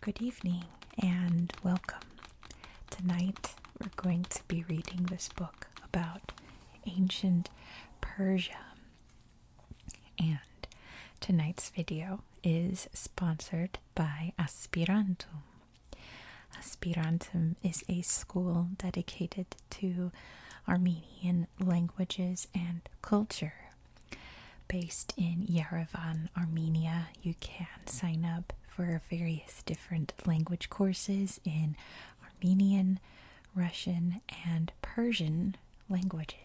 Good evening and welcome. Tonight we're going to be reading this book about ancient Persia. And tonight's video is sponsored by Aspirantum. Aspirantum is a school dedicated to Armenian languages and culture. Based in Yerevan, Armenia, you can sign up for various different language courses in Armenian, Russian, and Persian languages.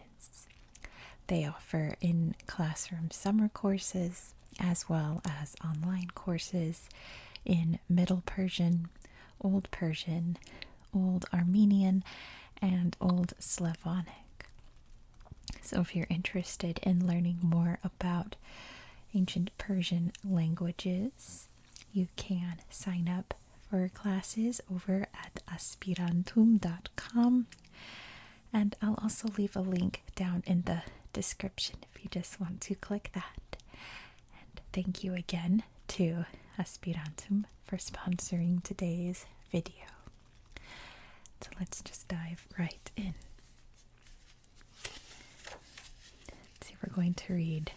They offer in classroom summer courses as well as online courses in Middle Persian, Old Persian, Old Armenian, and Old Slavonic. So, if you're interested in learning more about ancient Persian languages, you can sign up for classes over at aspirantum.com. And I'll also leave a link down in the description if you just want to click that. And thank you again to Aspirantum for sponsoring today's video. So let's just dive right in. Let's see, we're going to read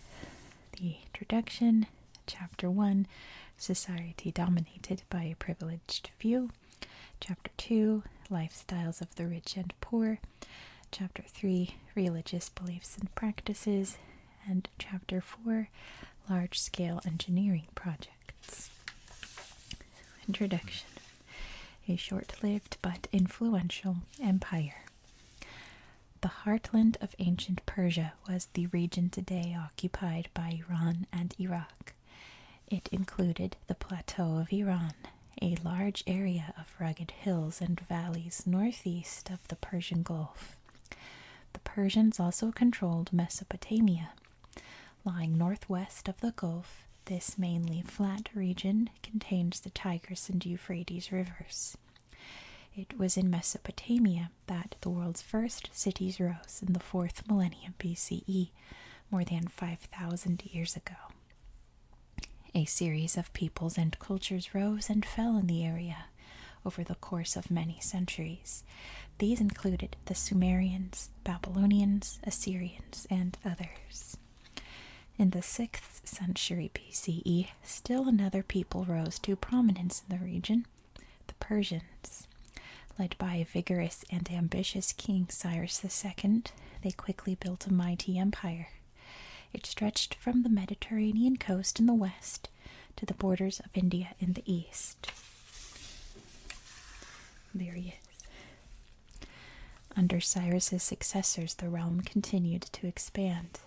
the introduction, chapter 1 Society Dominated by a Privileged Few, chapter 2 Lifestyles of the Rich and Poor, Chapter 3 Religious Beliefs and Practices, and Chapter 4 Large Scale Engineering Projects. Introduction A short lived but influential empire. The heartland of ancient Persia was the region today occupied by Iran and Iraq. It included the plateau of Iran, a large area of rugged hills and valleys northeast of the Persian Gulf. The Persians also controlled Mesopotamia. Lying northwest of the Gulf, this mainly flat region contains the Tigris and Euphrates rivers. It was in Mesopotamia that the world's first cities rose in the 4th millennium BCE, more than 5,000 years ago. A series of peoples and cultures rose and fell in the area over the course of many centuries. These included the Sumerians, Babylonians, Assyrians, and others. In the 6th century BCE, still another people rose to prominence in the region the Persians. Led by a vigorous and ambitious king Cyrus II, they quickly built a mighty empire it stretched from the Mediterranean coast in the west to the borders of India in the east. There Under Cyrus's successors, the realm continued to expand.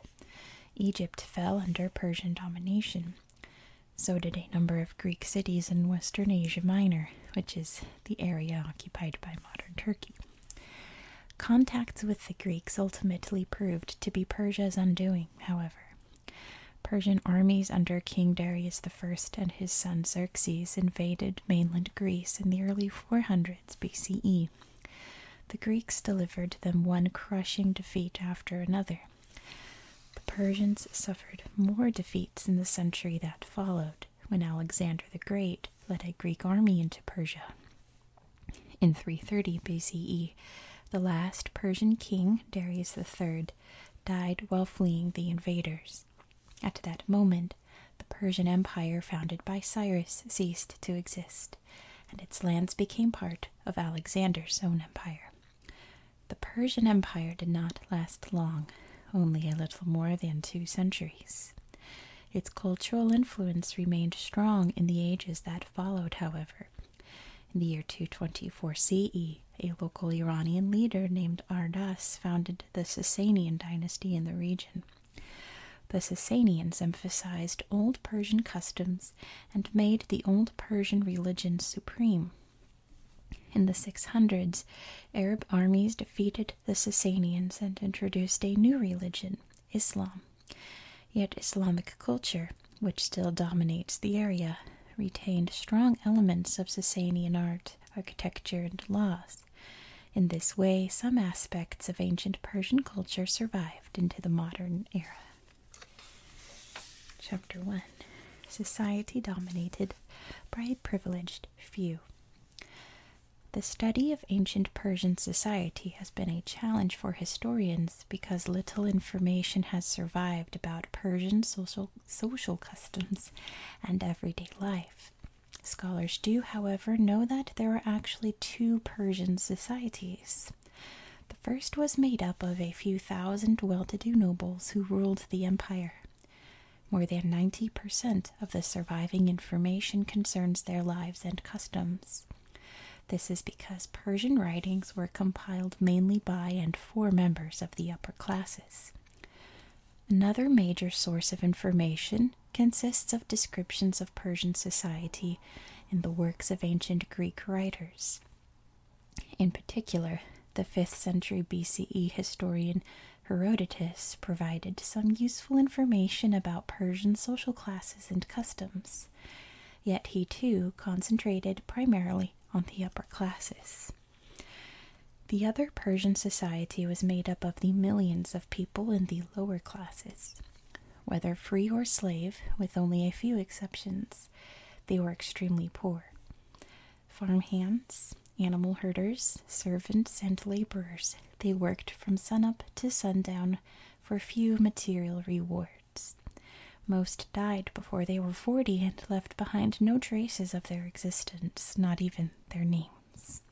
Egypt fell under Persian domination. So did a number of Greek cities in Western Asia Minor, which is the area occupied by modern Turkey. Contacts with the Greeks ultimately proved to be Persia's undoing, however. Persian armies under King Darius I and his son Xerxes invaded mainland Greece in the early 400s BCE. The Greeks delivered them one crushing defeat after another. The Persians suffered more defeats in the century that followed, when Alexander the Great led a Greek army into Persia. In 330 BCE, the last Persian king, Darius III, died while fleeing the invaders. At that moment, the Persian Empire founded by Cyrus ceased to exist, and its lands became part of Alexander's own empire. The Persian Empire did not last long, only a little more than two centuries. Its cultural influence remained strong in the ages that followed followed, however. In the year 224 CE, a local Iranian leader named Ardas founded the Sasanian dynasty in the region. The Sasanians emphasized old Persian customs and made the old Persian religion supreme. In the 600s, Arab armies defeated the Sasanians and introduced a new religion, Islam. Yet Islamic culture, which still dominates the area, retained strong elements of Sassanian art, architecture, and laws. In this way, some aspects of ancient Persian culture survived into the modern era. Chapter 1 Society Dominated by a Privileged Few. The study of ancient Persian society has been a challenge for historians because little information has survived about Persian social, customs and everyday life. Scholars do, however, know that there were actually two Persian societies. The first was made up of a few thousand well to do nobles who ruled the empire. More than 90% of the surviving information concerns their lives and customs. This is because Persian writings were compiled mainly by and for members of the upper classes. Another major source of information consists of descriptions of Persian society in the works of ancient Greek writers. In particular, the 5th century BCE historian Herodotus provided some useful information about Persian social classes and customs yet he too concentrated primarily on the upper classes. The other Persian society was made up of the millions of people in the lower classes. Whether free or slave, with only a few exceptions, they were extremely poor. Farm hands, animal herders, servants, and laborers, they worked from sunup to sundown for few material rewards. Most died before they were forty and left behind no traces of their existence, not even their names.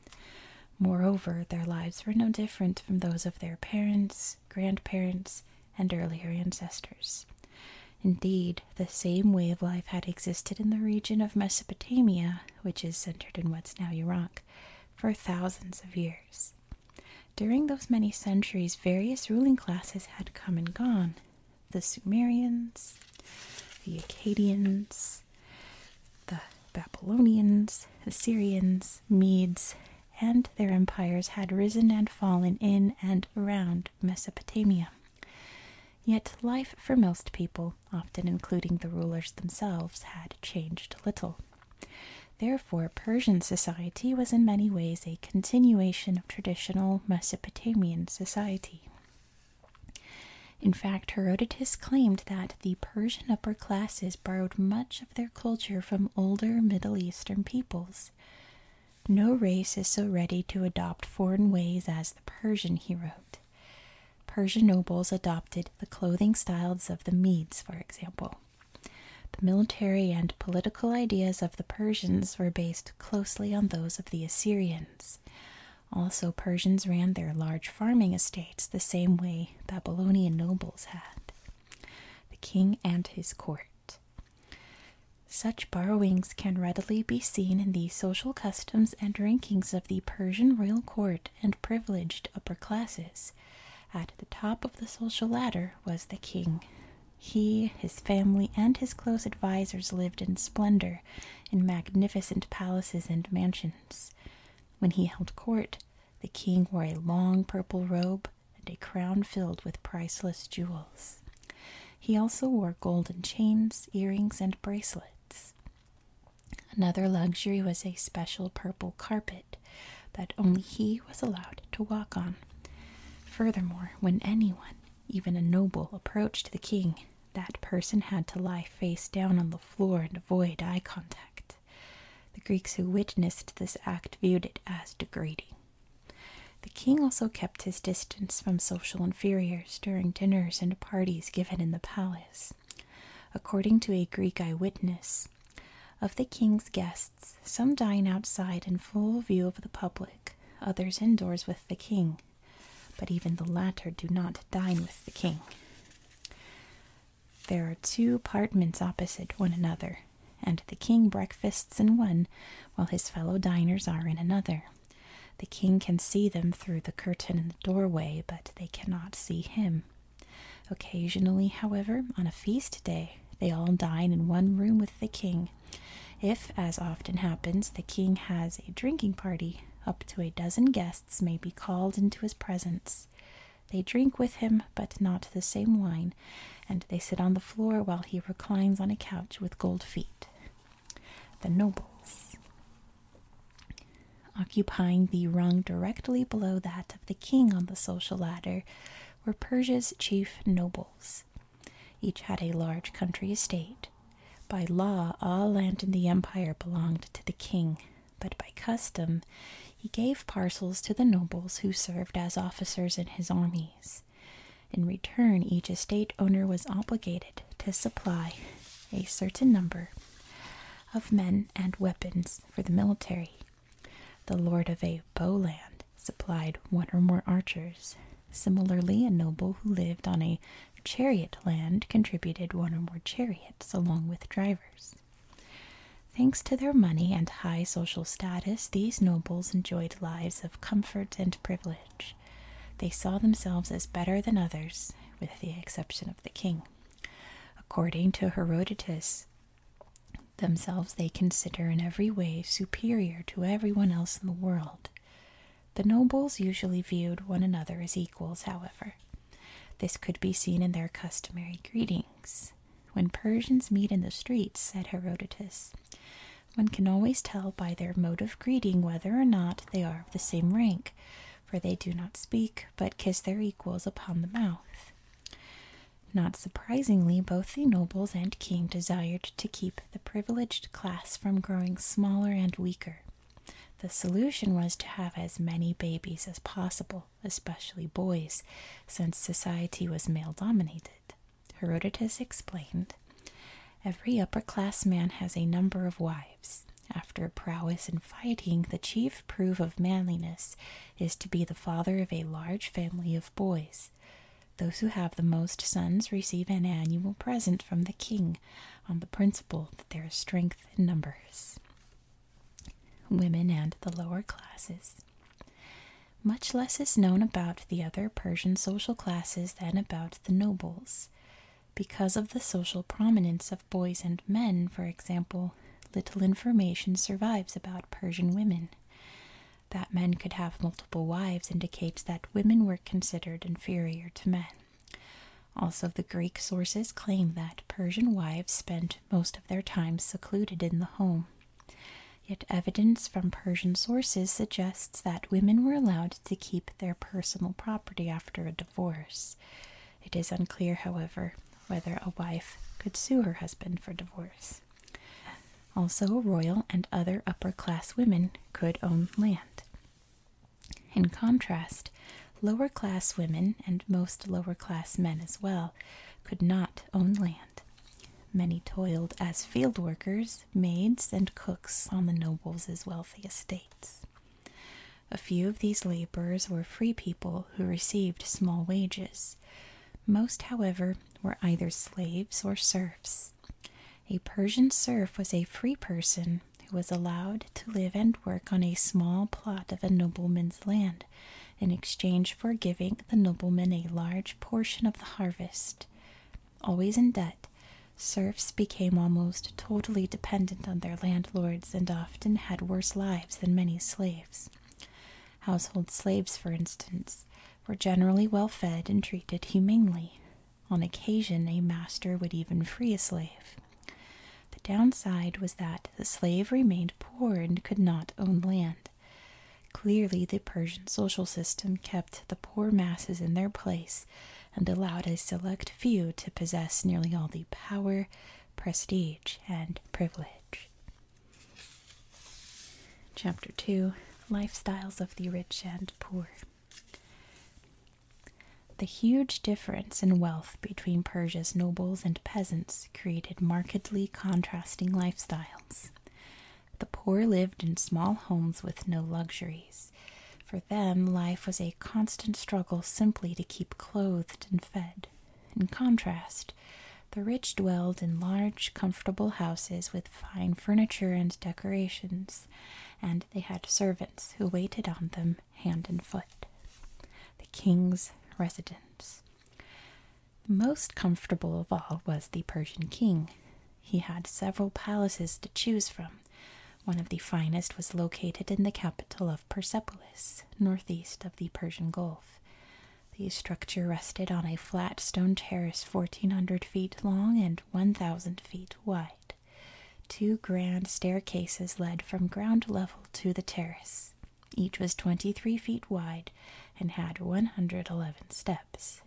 Moreover, their lives were no different from those of their parents, grandparents, and earlier ancestors. Indeed, the same way of life had existed in the region of Mesopotamia, which is centered in what's now Iraq, for thousands of years. During those many centuries, various ruling classes had come and gone the Sumerians, the Akkadians, the Babylonians, Assyrians, Medes, and their empires had risen and fallen in and around Mesopotamia. Yet life for most people, often including the rulers themselves, had changed little. Therefore, Persian society was in many ways a continuation of traditional Mesopotamian society. In fact, Herodotus claimed that the Persian upper classes borrowed much of their culture from older Middle Eastern peoples. No race is so ready to adopt foreign ways as the Persian, he wrote. Persian nobles adopted the clothing styles of the Medes, for example. The military and political ideas of the Persians were based closely on those of the Assyrians. Also, Persians ran their large farming estates the same way Babylonian nobles had. The king and his court. Such borrowings can readily be seen in the social customs and rankings of the Persian royal court and privileged upper classes, at the top of the social ladder was the king. He, his family, and his close advisers lived in splendor, in magnificent palaces and mansions. When he held court, the king wore a long purple robe and a crown filled with priceless jewels. He also wore golden chains, earrings, and bracelets. Another luxury was a special purple carpet that only he was allowed to walk on. Furthermore, when anyone, even a noble, approached the king, that person had to lie face down on the floor and avoid eye contact. The Greeks who witnessed this act viewed it as degrading. The king also kept his distance from social inferiors during dinners and parties given in the palace. According to a Greek eyewitness, of the king's guests, some dine outside in full view of the public, others indoors with the king, but even the latter do not dine with the king. There are two apartments opposite one another, and the king breakfasts in one while his fellow diners are in another. The king can see them through the curtain in the doorway, but they cannot see him. Occasionally, however, on a feast day, they all dine in one room with the king. If, as often happens, the king has a drinking party, up to a dozen guests may be called into his presence. They drink with him, but not the same wine, and they sit on the floor while he reclines on a couch with gold feet. The nobles. Occupying the rung directly below that of the king on the social ladder were Persia's chief nobles. Each had a large country estate. By law, all land in the empire belonged to the king, but by custom, he gave parcels to the nobles who served as officers in his armies. In return, each estate owner was obligated to supply a certain number of men and weapons for the military. The lord of a bow land supplied one or more archers. Similarly, a noble who lived on a chariot land contributed one or more chariots along with drivers. Thanks to their money and high social status, these nobles enjoyed lives of comfort and privilege. They saw themselves as better than others, with the exception of the king. According to Herodotus, Themselves they consider in every way superior to every one else in the world. The nobles usually viewed one another as equals, however. This could be seen in their customary greetings. When Persians meet in the streets, said Herodotus, one can always tell by their mode of greeting whether or not they are of the same rank, for they do not speak, but kiss their equals upon the mouth. Not surprisingly, both the nobles and king desired to keep the privileged class from growing smaller and weaker. The solution was to have as many babies as possible, especially boys, since society was male dominated. Herodotus explained Every upper class man has a number of wives. After prowess in fighting, the chief proof of manliness is to be the father of a large family of boys. Those who have the most sons receive an annual present from the king on the principle that there is strength in numbers. Women and the lower classes. Much less is known about the other Persian social classes than about the nobles. Because of the social prominence of boys and men, for example, little information survives about Persian women. That men could have multiple wives indicates that women were considered inferior to men. Also, the Greek sources claim that Persian wives spent most of their time secluded in the home. Yet, evidence from Persian sources suggests that women were allowed to keep their personal property after a divorce. It is unclear, however, whether a wife could sue her husband for divorce. Also, royal and other upper class women could own land. In contrast, lower class women and most lower class men as well could not own land. Many toiled as field workers, maids, and cooks on the nobles' wealthy estates. A few of these laborers were free people who received small wages, most, however, were either slaves or serfs. A Persian serf was a free person who was allowed to live and work on a small plot of a nobleman's land in exchange for giving the nobleman a large portion of the harvest. Always in debt, serfs became almost totally dependent on their landlords and often had worse lives than many slaves. Household slaves, for instance, were generally well fed and treated humanely. On occasion, a master would even free a slave. The downside was that the slave remained poor and could not own land. Clearly, the Persian social system kept the poor masses in their place and allowed a select few to possess nearly all the power, prestige, and privilege. Chapter 2 Lifestyles of the Rich and Poor. The huge difference in wealth between Persia's nobles and peasants created markedly contrasting lifestyles. The poor lived in small homes with no luxuries. For them, life was a constant struggle simply to keep clothed and fed. In contrast, the rich dwelled in large, comfortable houses with fine furniture and decorations, and they had servants who waited on them hand and foot. The king's residence. most comfortable of all was the Persian king. He had several palaces to choose from. One of the finest was located in the capital of Persepolis, northeast of the Persian Gulf. The structure rested on a flat stone terrace 1,400 feet long and 1,000 feet wide. Two grand staircases led from ground level to the terrace. Each was 23 feet wide and had 111 steps.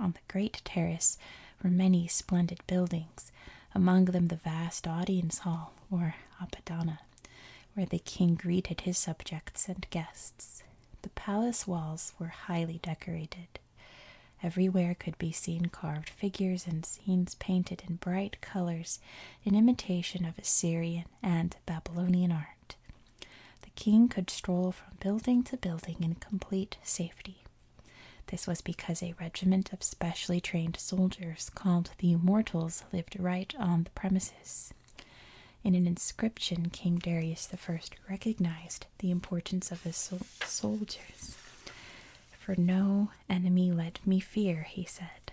On the great terrace were many splendid buildings, among them the vast audience hall, or Apadana, where the king greeted his subjects and guests. The palace walls were highly decorated. Everywhere could be seen carved figures and scenes painted in bright colors in imitation of Assyrian and Babylonian art. The king could stroll from building to building in complete safety. This was because a regiment of specially trained soldiers called the Immortals lived right on the premises. In an inscription, King Darius I recognized the importance of his soldiers. For no enemy let me fear, he said.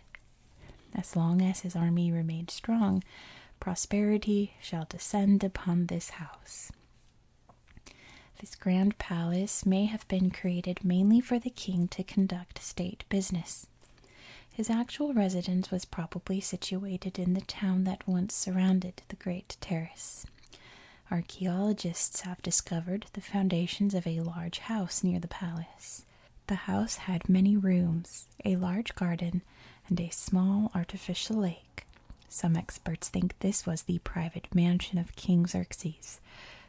As long as his army remains strong, prosperity shall descend upon this house. This grand palace may have been created mainly for the king to conduct state business. His actual residence was probably situated in the town that once surrounded the Great Terrace. Archaeologists have discovered the foundations of a large house near the palace. The house had many rooms, a large garden, and a small artificial lake. Some experts think this was the private mansion of King Xerxes,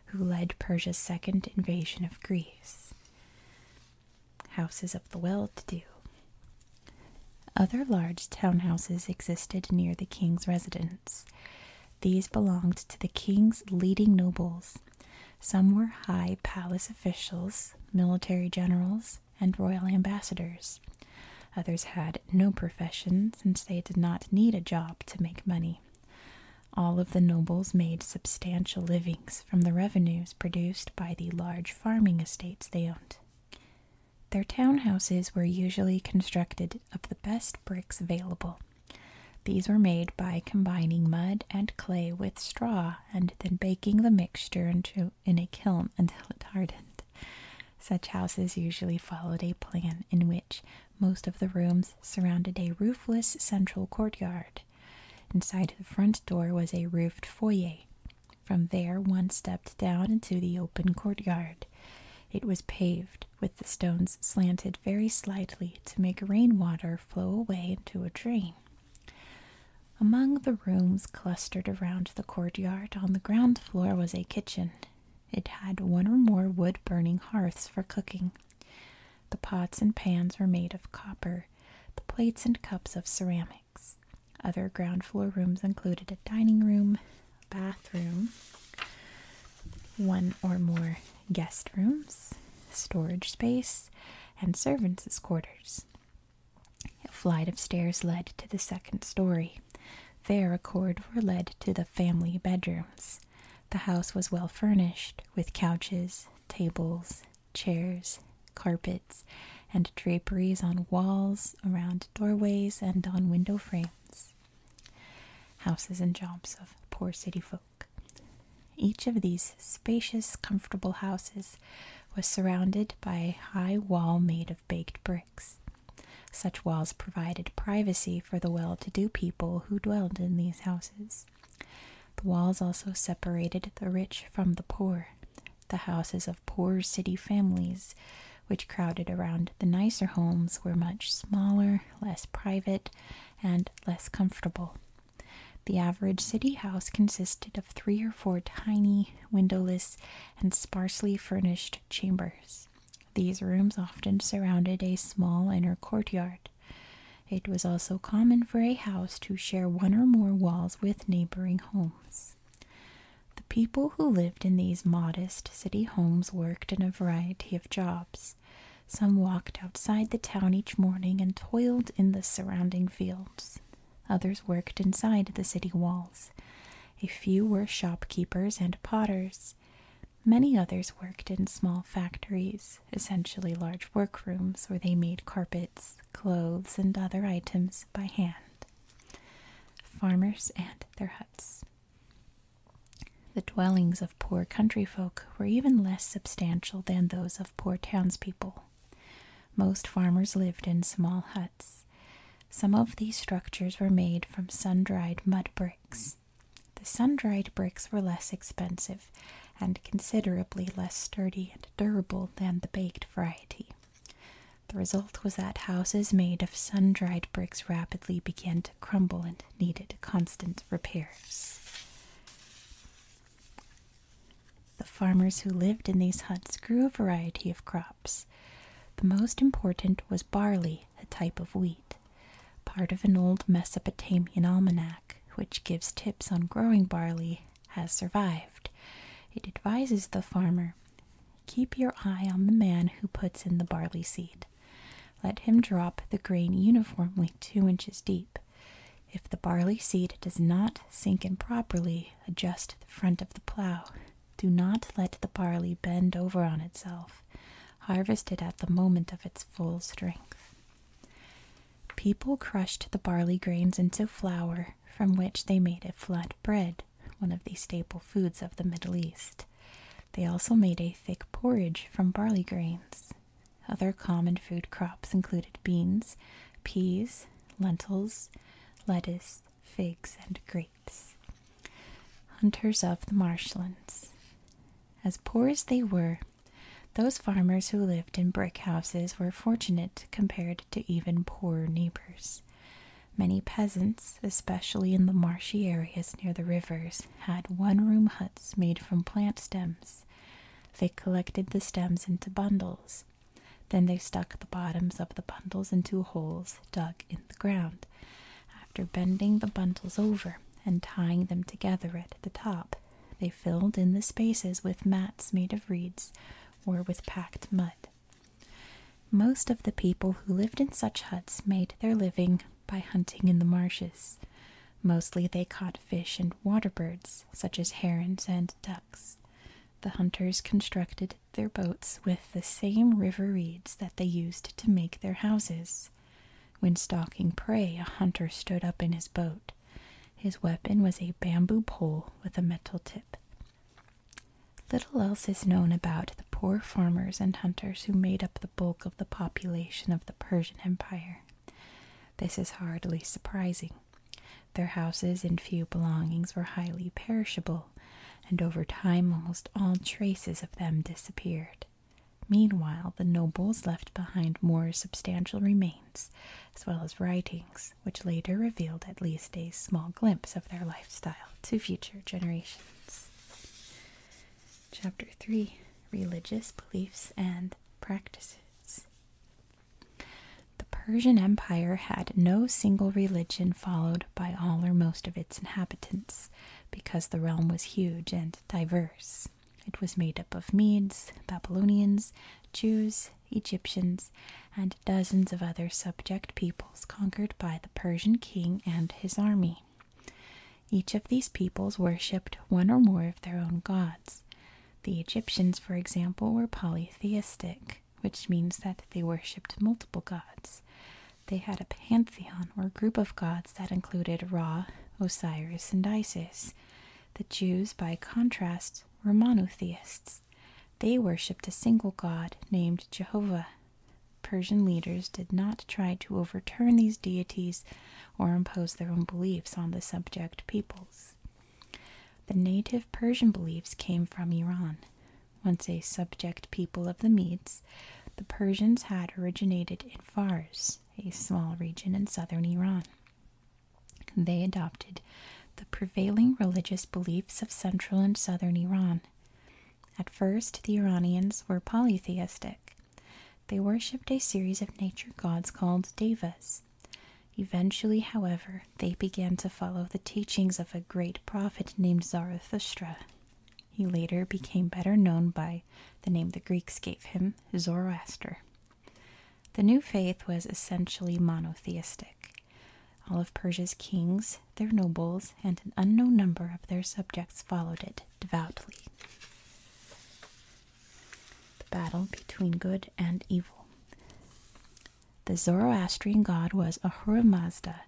who led Persia's second invasion of Greece houses of the well to do. Other large townhouses existed near the king's residence. These belonged to the king's leading nobles. Some were high palace officials, military generals, and royal ambassadors. Others had no profession since they did not need a job to make money. All of the nobles made substantial livings, from the revenues produced by the large farming estates they owned. Their townhouses were usually constructed of the best bricks available. These were made by combining mud and clay with straw and then baking the mixture into, in a kiln until it hardened. Such houses usually followed a plan in which most of the rooms surrounded a roofless central courtyard Inside the front door was a roofed foyer. From there, one stepped down into the open courtyard. It was paved, with the stones slanted very slightly to make rainwater flow away into a drain. Among the rooms clustered around the courtyard on the ground floor was a kitchen. It had one or more wood burning hearths for cooking. The pots and pans were made of copper, the plates and cups of ceramics. Other ground floor rooms included a dining room, bathroom, one or more guest rooms, storage space, and servants' quarters. A flight of stairs led to the second story. There, a cord were led to the family bedrooms. The house was well furnished with couches, tables, chairs, carpets, and draperies on walls, around doorways, and on window frames. Houses and jobs of poor city folk. Each of these spacious, comfortable houses was surrounded by a high wall made of baked bricks. Such walls provided privacy for the well to do people who dwelled in these houses. The walls also separated the rich from the poor, the houses of poor city families, which crowded around the nicer homes, were much smaller, less private, and less comfortable. The average city house consisted of three or four tiny, windowless, and sparsely furnished chambers. These rooms often surrounded a small inner courtyard. It was also common for a house to share one or more walls with neighboring homes. The people who lived in these modest city homes worked in a variety of jobs. Some walked outside the town each morning and toiled in the surrounding fields. Others worked inside the city walls. A few were shopkeepers and potters. Many others worked in small factories, essentially large workrooms where they made carpets clothes, and other items by hand. Farmers and their huts. The dwellings of poor country folk were even less substantial than those of poor townspeople. Most farmers lived in small huts. Some of these structures were made from sun dried mud bricks. The sun dried bricks were less expensive and considerably less sturdy durable than the baked variety. The result was that houses made of sun dried bricks rapidly began to crumble and needed constant repairs. The farmers who lived in these huts grew a variety of crops. The most important was barley, a type of wheat, part of an old Mesopotamian almanac, which gives tips on growing barley has survived. It advises the farmer keep your eye on the man who puts in the barley seed. Let him drop the grain uniformly two inches deep. If the barley seed does not sink in properly, adjust the front of the plow. Do not let the barley bend over on itself. Harvest it at the moment of its full strength. People crushed the barley grains into flour, from which they made a flat bread, one of the staple foods of the Middle East. They also made a thick porridge from barley grains. Other common food crops included beans, peas, lentils, lettuce, figs, and grapes. Hunters of the marshlands. As poor as they were, those farmers who lived in brick houses were fortunate compared to even poorer neighbors. Many peasants, especially in the marshy areas near the rivers, had one room huts made from plant stems. They collected the stems into bundles. Then they stuck the bottoms of the bundles into holes dug in the ground. After bending the bundles over and tying them together at the top, they filled in the spaces with mats made of reeds or with packed mud. Most of the people who lived in such huts made their living by hunting in the marshes. Mostly they caught fish and water birds, such as herons and ducks. The hunters constructed their boats with the same river reeds that they used to make their houses. When stalking prey, a hunter stood up in his boat. His weapon was a bamboo pole with a metal tip. Little else is known about the poor farmers and hunters who made up the bulk of the population of the Persian Empire. This is hardly surprising. Their houses and few belongings were highly perishable, and over time almost all traces of them disappeared. Meanwhile, the nobles left behind more substantial remains, as well as writings, which later revealed at least a small glimpse of their lifestyle to future generations. Chapter 3 Religious Beliefs and Practices The Persian Empire had no single religion followed by all or most of its inhabitants because the realm was huge and diverse. It was made up of Medes, Babylonians, Jews, Egyptians, and dozens of other subject peoples conquered by the Persian king and his army. Each of these peoples worshipped one or more of their own gods. The Egyptians, for example, were polytheistic, which means that they worshipped multiple gods. They had a pantheon or group of gods that included Ra, Osiris, and Isis. The Jews, by contrast, were monotheists. They worshipped a single god named Jehovah. Persian leaders did not try to overturn these deities or impose their own beliefs on the subject peoples. The native Persian beliefs came from Iran. Once a subject people of the Medes, the Persians had originated in Fars, a small region in southern Iran. They adopted the prevailing religious beliefs of central and southern Iran. At first, the Iranians were polytheistic. They worshipped a series of nature gods called devas. Eventually, however, they began to follow the teachings of a great prophet named Zarathustra. He later became better known by the name the Greeks gave him, Zoroaster. The new faith was essentially monotheistic. All of Persia's kings, their nobles, and an unknown number of their subjects followed it devoutly. The battle between good and evil. The Zoroastrian god was Ahura Mazda,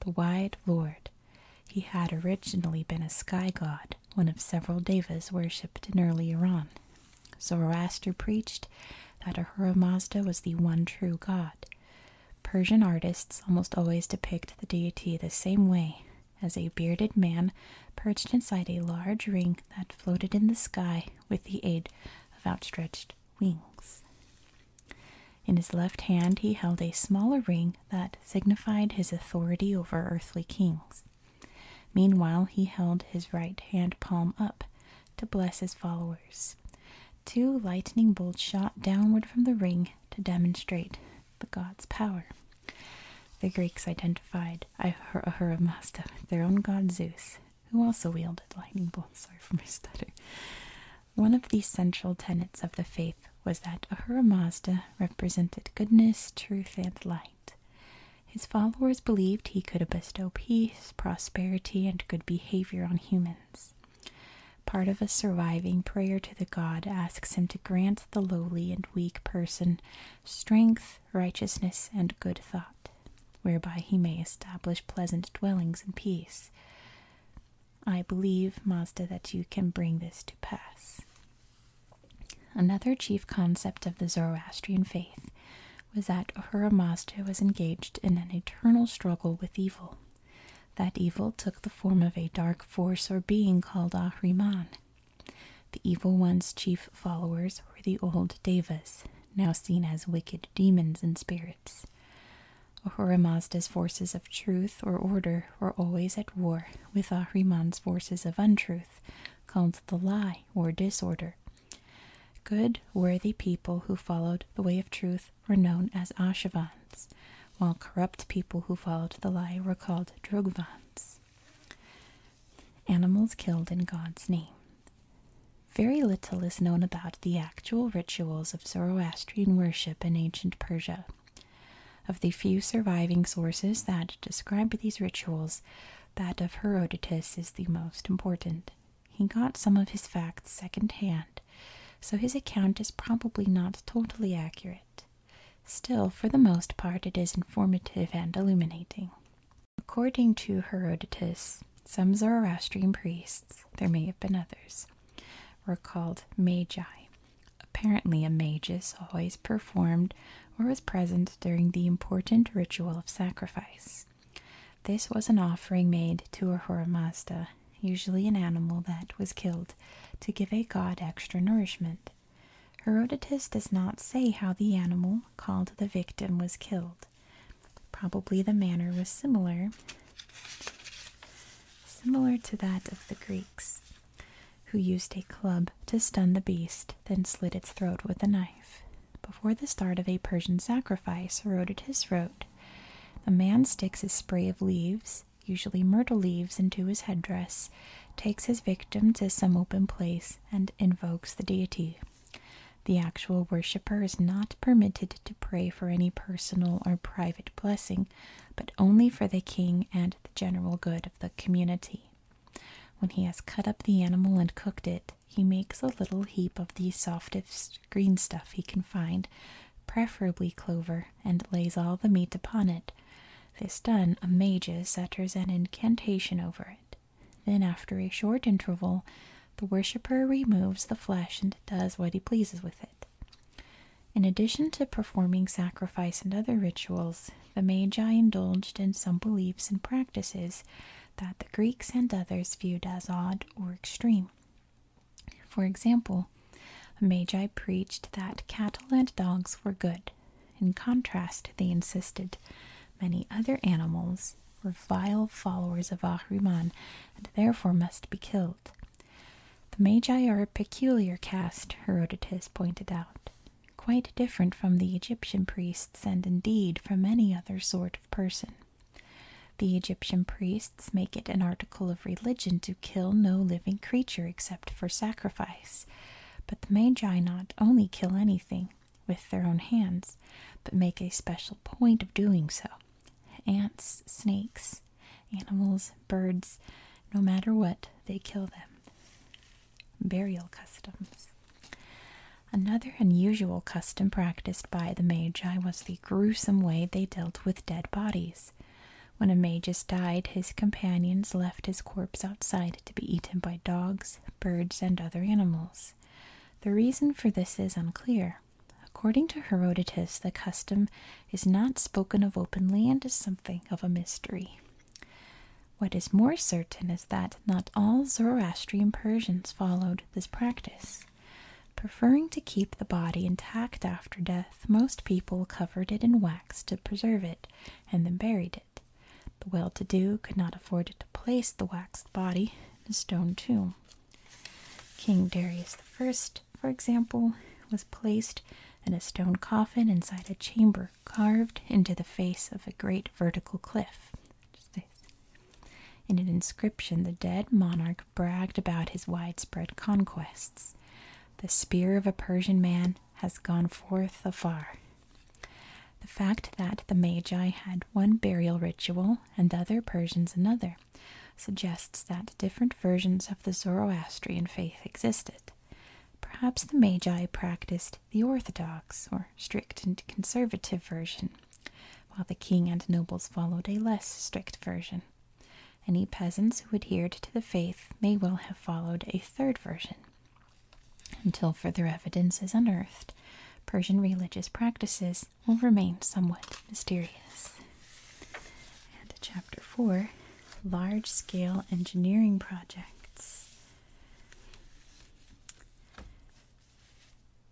the wide lord. He had originally been a sky god, one of several devas worshipped in early Iran. Zoroaster preached that Ahura Mazda was the one true god. Persian artists almost always depict the deity the same way, as a bearded man perched inside a large ring that floated in the sky with the aid of outstretched wings. In his left hand, he held a smaller ring that signified his authority over earthly kings. Meanwhile, he held his right hand palm up to bless his followers. Two lightning bolts shot downward from the ring to demonstrate the god's power. The Greeks identified Ahura Mazda with their own god Zeus, who also wielded lightning bolts. Sorry for my stutter. One of the central tenets of the faith was that Ahura Mazda represented goodness, truth, and light. His followers believed he could bestow peace, prosperity, and good behavior on humans. Part of a surviving prayer to the god asks him to grant the lowly and weak person strength, righteousness, and good thought, whereby he may establish pleasant dwellings and peace. I believe, Mazda, that you can bring this to pass. Another chief concept of the Zoroastrian faith was that Ahura Mazda was engaged in an eternal struggle with evil. That evil took the form of a dark force or being called Ahriman. The evil one's chief followers were the old Devas, now seen as wicked demons and spirits. Ahura Mazda's forces of truth or order were always at war with Ahriman's forces of untruth, called the lie or disorder, Good, worthy people who followed the way of truth were known as Ashvans, while corrupt people who followed the lie were called Drugvans. Animals killed in God's name. Very little is known about the actual rituals of Zoroastrian worship in ancient Persia. Of the few surviving sources that describe these rituals, that of Herodotus is the most important. He got some of his facts secondhand, so his account is probably not totally accurate. Still, for the most part, it is informative and illuminating. According to Herodotus, some Zoroastrian priests, there may have been others, were called magi. Apparently, a magus always performed or was present during the important ritual of sacrifice. This was an offering made to a Mazda, usually an animal that was killed, to give a god extra nourishment. Herodotus does not say how the animal called the victim was killed. Probably the manner was similar similar to that of the Greeks, who used a club to stun the beast, then slit its throat with a knife. Before the start of a Persian sacrifice, his wrote, A man sticks a spray of leaves, usually myrtle leaves, into his headdress, takes his victim to some open place, and invokes the deity. The actual worshipper is not permitted to pray for any personal or private blessing, but only for the king and the general good of the community. When he has cut up the animal and cooked it, he makes a little heap of the softest green stuff he can find, preferably clover, and lays all the meat upon it. This done, a mage utters an incantation over it. Then, after a short interval, the worshipper removes the flesh and does what he pleases with it. In addition to performing sacrifice and other rituals, the Magi indulged in some beliefs and practices that the Greeks and others viewed as odd or extreme. For example, the Magi preached that cattle and dogs were good. In contrast, they insisted many other animals were vile followers of Ahraman and therefore must be killed. The Magi are a peculiar caste, Herodotus pointed out, quite different from the Egyptian priests priests and indeed from any other sort of person. The Egyptian priests make it an article of religion to kill no living creature except for sacrifice. But the Magi not only kill anything with their own hands, but make a special point of doing so. Ants, snakes, animals, birds, no matter what, they kill them. Burial customs. Another unusual custom practiced by the Magi was the gruesome way they dealt with dead bodies. When a magus died, his companions left his corpse outside to be eaten by dogs, birds, and other animals. The reason for this is unclear. According to Herodotus, the custom is not spoken of openly and is something of a mystery. What is more certain is that not all Zoroastrian Persians followed this practice. Preferring to keep the body intact after death, most people covered it in wax to preserve it and then buried it. The well to do could not afford to place the waxed body in a stone tomb. King Darius I, for example, was placed in a stone coffin inside a chamber carved into the face of a great vertical cliff. In an inscription, the dead monarch bragged about his widespread conquests. The spear of a Persian man has gone forth afar. The fact that the Magi had one burial ritual and the other Persians another suggests that different versions of the Zoroastrian faith existed. Perhaps the Magi practiced the orthodox or strict and conservative version, while the king and nobles followed a less strict version. Any peasants who adhered to the faith may well have followed a third version. Until further evidence is unearthed, Persian religious practices will remain somewhat mysterious. chapter 4 Large Scale Engineering Projects.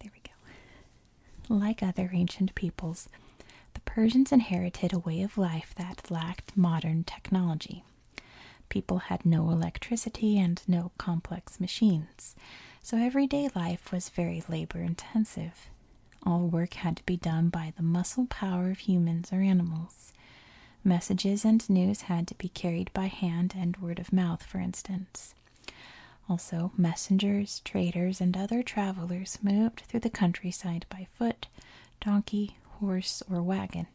There we go. Like other ancient peoples, the Persians inherited a way of life that lacked modern technology. People had no electricity and no complex machines, so everyday life was very labor intensive. All work had to be done by the muscle power of humans or animals. Messages and news had to be carried by hand and word of mouth, for instance. Also, messengers, traders, and other travelers moved through the countryside by foot, donkey, horse, or wagon.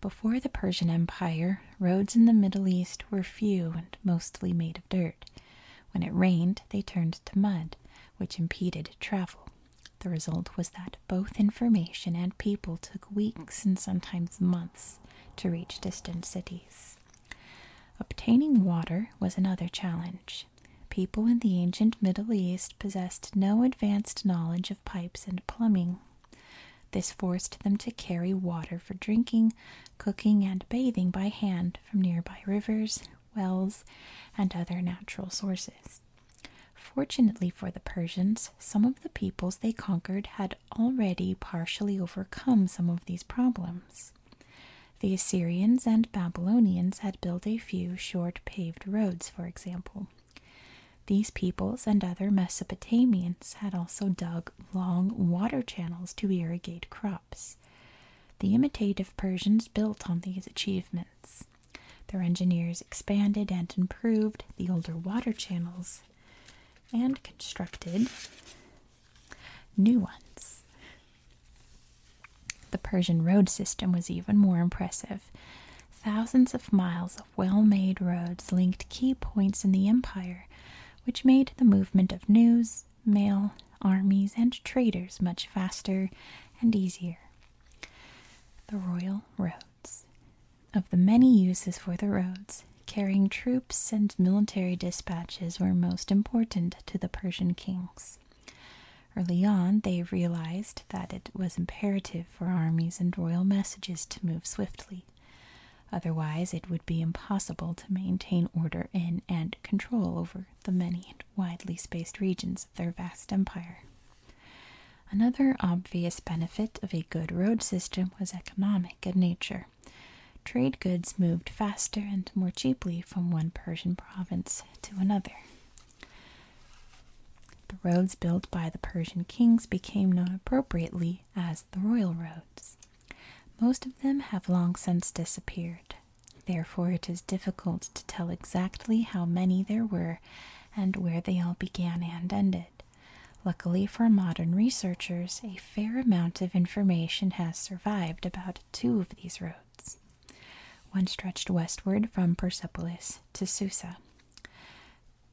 Before the Persian Empire, roads in the Middle East were few and mostly made of dirt. When it rained, they turned to mud, which impeded travel. The result was that both information and people took weeks and sometimes months to reach distant cities. Obtaining water was another challenge. People in the ancient Middle East possessed no advanced knowledge of pipes and plumbing. This forced them to carry water for drinking, cooking, and bathing by hand from nearby rivers, wells, and other natural sources. Fortunately for the Persians, some of the peoples they conquered had already partially overcome some of these problems. The Assyrians and Babylonians had built a few short paved roads, for example. These peoples and other Mesopotamians had also dug long water channels to irrigate crops. The imitative Persians built on these achievements. Their engineers expanded and improved the older water channels and constructed new ones. The Persian road system was even more impressive. Thousands of miles of well made roads linked key points in the empire, which made the movement of news, mail, armies, and traders much faster and easier. The Royal Roads. Of the many uses for the roads, carrying troops and military dispatches were most important to the Persian kings. Early on, they realized that it was imperative for armies and royal messages to move swiftly. Otherwise, it would be impossible to maintain order in and control over the many and widely spaced regions of their vast empire. Another obvious benefit of a good road system was economic in nature. Trade goods moved faster and more cheaply from one Persian province to another. The roads built by the Persian kings became known appropriately as the royal roads. Most of them have long since disappeared. Therefore, it is difficult to tell exactly how many there were and where they all began and ended. Luckily for modern researchers, a fair amount of information has survived about two of these roads. One stretched westward from Persepolis to Susa.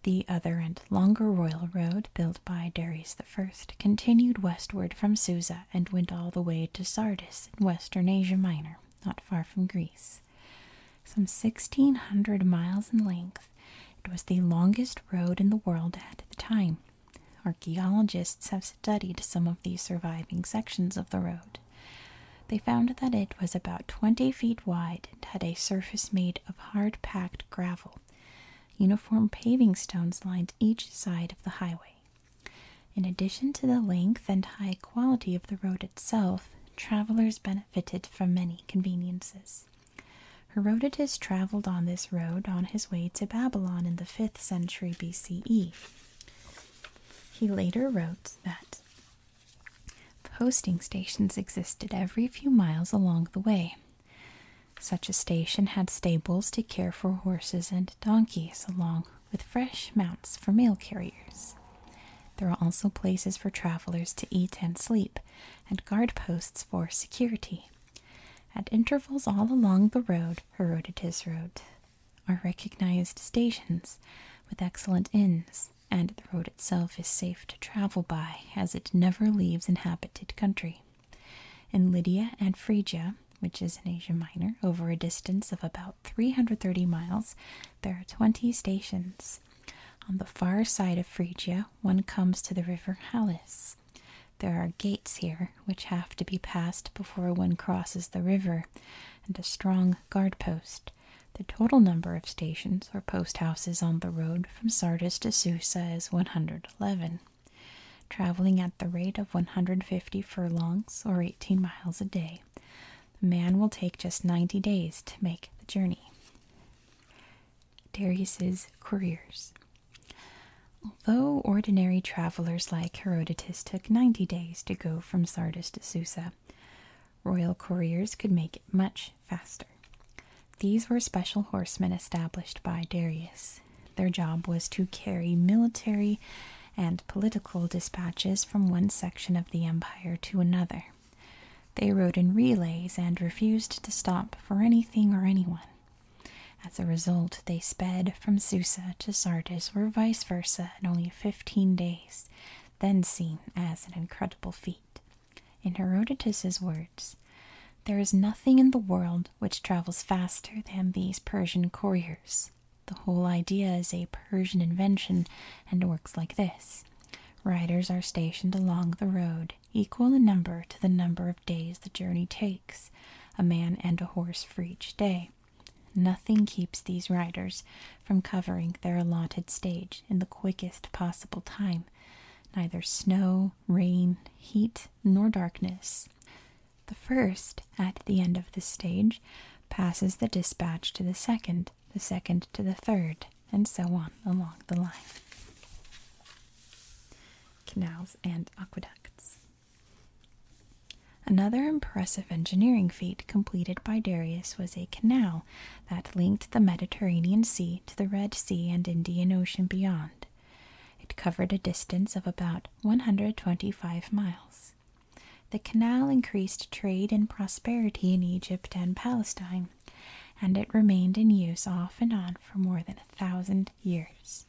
The other and longer royal road, built by Darius I, continued westward from Susa and went all the way to Sardis in western Asia Minor, not far from Greece. Some 1,600 miles in length it was the longest road in the world at the time. Archaeologists have studied some of the surviving sections of the road. They found that it was about 20 feet wide and had a surface made of hard packed gravel. Uniform paving stones lined each side of the highway. In addition to the length and high quality of the road itself, travelers benefited from many conveniences. Herodotus traveled on this road on his way to Babylon in the 5th century BCE. He later wrote that posting stations existed every few miles along the way. Such a station had stables to care for horses and donkeys, along with fresh mounts for mail carriers. There were also places for travelers to eat and sleep, and guard posts for security. At intervals all along the road, Herodotus wrote, are recognized stations with excellent inns, and the road itself is safe to travel by, as it never leaves inhabited country. In Lydia and Phrygia, which is in Asia Minor, over a distance of about 330 miles, there are 20 stations. On the far side of Phrygia, one comes to the river Halys. There are gates here which have to be passed before one crosses the river, and a strong guard post. The total number of stations or post houses on the road from Sardis to Susa is 111. Traveling at the rate of 150 furlongs or 18 miles a day, the man will take just 90 days to make the journey. Darius's couriers. Although ordinary travelers like Herodotus took 90 days to go from Sardis to Susa, royal couriers could make it much faster. These were special horsemen established by Darius. Their job was to carry military and political dispatches from one section of the empire to another. They rode in relays and refused to stop for anything or anyone. As a result, they sped from Susa to Sardis or vice versa in only 15 days, then seen as an incredible feat. In Herodotus's words, there is nothing in the world which travels faster than these Persian couriers. The whole idea is a Persian invention and works like this. Riders are stationed along the road, equal in number to the number of days the journey takes, a man and a horse for each day. Nothing keeps these riders from covering their allotted stage in the quickest possible time, neither snow, rain, heat, nor darkness. The first, at the end of the stage, passes the dispatch to the second, the second to the third, and so on along the line canals, and aqueducts. Another impressive engineering feat completed by Darius was a canal that linked the Mediterranean Sea to the Red Sea and Indian Ocean beyond. It covered a distance of about 125 miles. The canal increased trade and prosperity in Egypt and Palestine, and it remained in use off and on for more than a thousand years.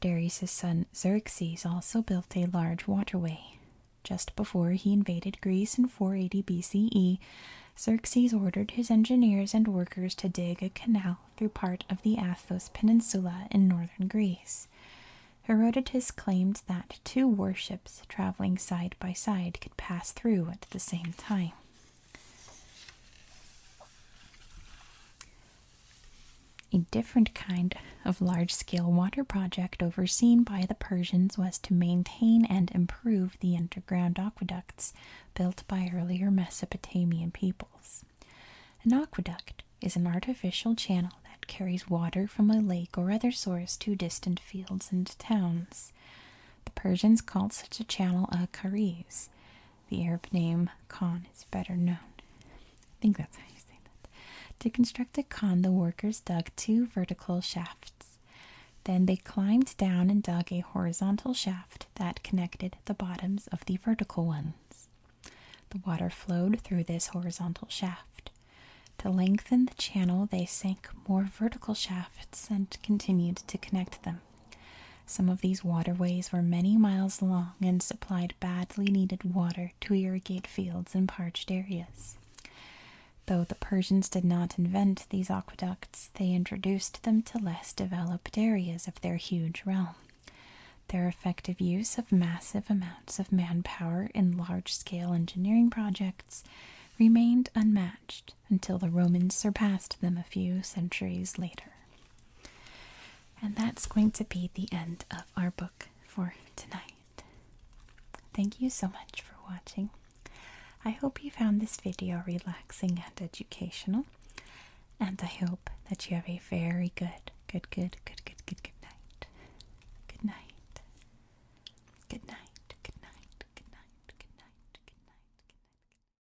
Darius' son Xerxes also built a large waterway. Just before he invaded Greece in 480 BCE, Xerxes ordered his engineers and workers to dig a canal through part of the Athos Peninsula in northern Greece. Herodotus claimed that two warships traveling side by side could pass through at the same time. A different kind of large scale water project overseen by the Persians was to maintain and improve the underground aqueducts built by earlier Mesopotamian peoples. An aqueduct is an artificial channel that carries water from a lake or other source to distant fields and towns. The Persians called such a channel a kariz. The Arab name Khan is better known. I think that's how you say that. To construct a Khan, the workers dug two vertical shafts. Then they climbed down and dug a horizontal shaft that connected the bottoms of the vertical ones. The water flowed through this horizontal shaft. To lengthen the channel, they sank more vertical shafts and continued to connect them. Some of these waterways were many miles long and supplied badly needed water to irrigate fields in parched areas. Though the Persians did not invent these aqueducts, they introduced them to less developed areas of their huge realm. Their effective use of massive amounts of manpower in large scale engineering projects remained unmatched until the Romans surpassed them a few centuries later. And that's going to be the end of our book for tonight. Thank you so much for watching. I hope you found this video relaxing and educational, and I hope that you have a very good, good, good, good, good, good, Good night. Good night. Good night. Good night. Good night. Good night. Good night. Good night.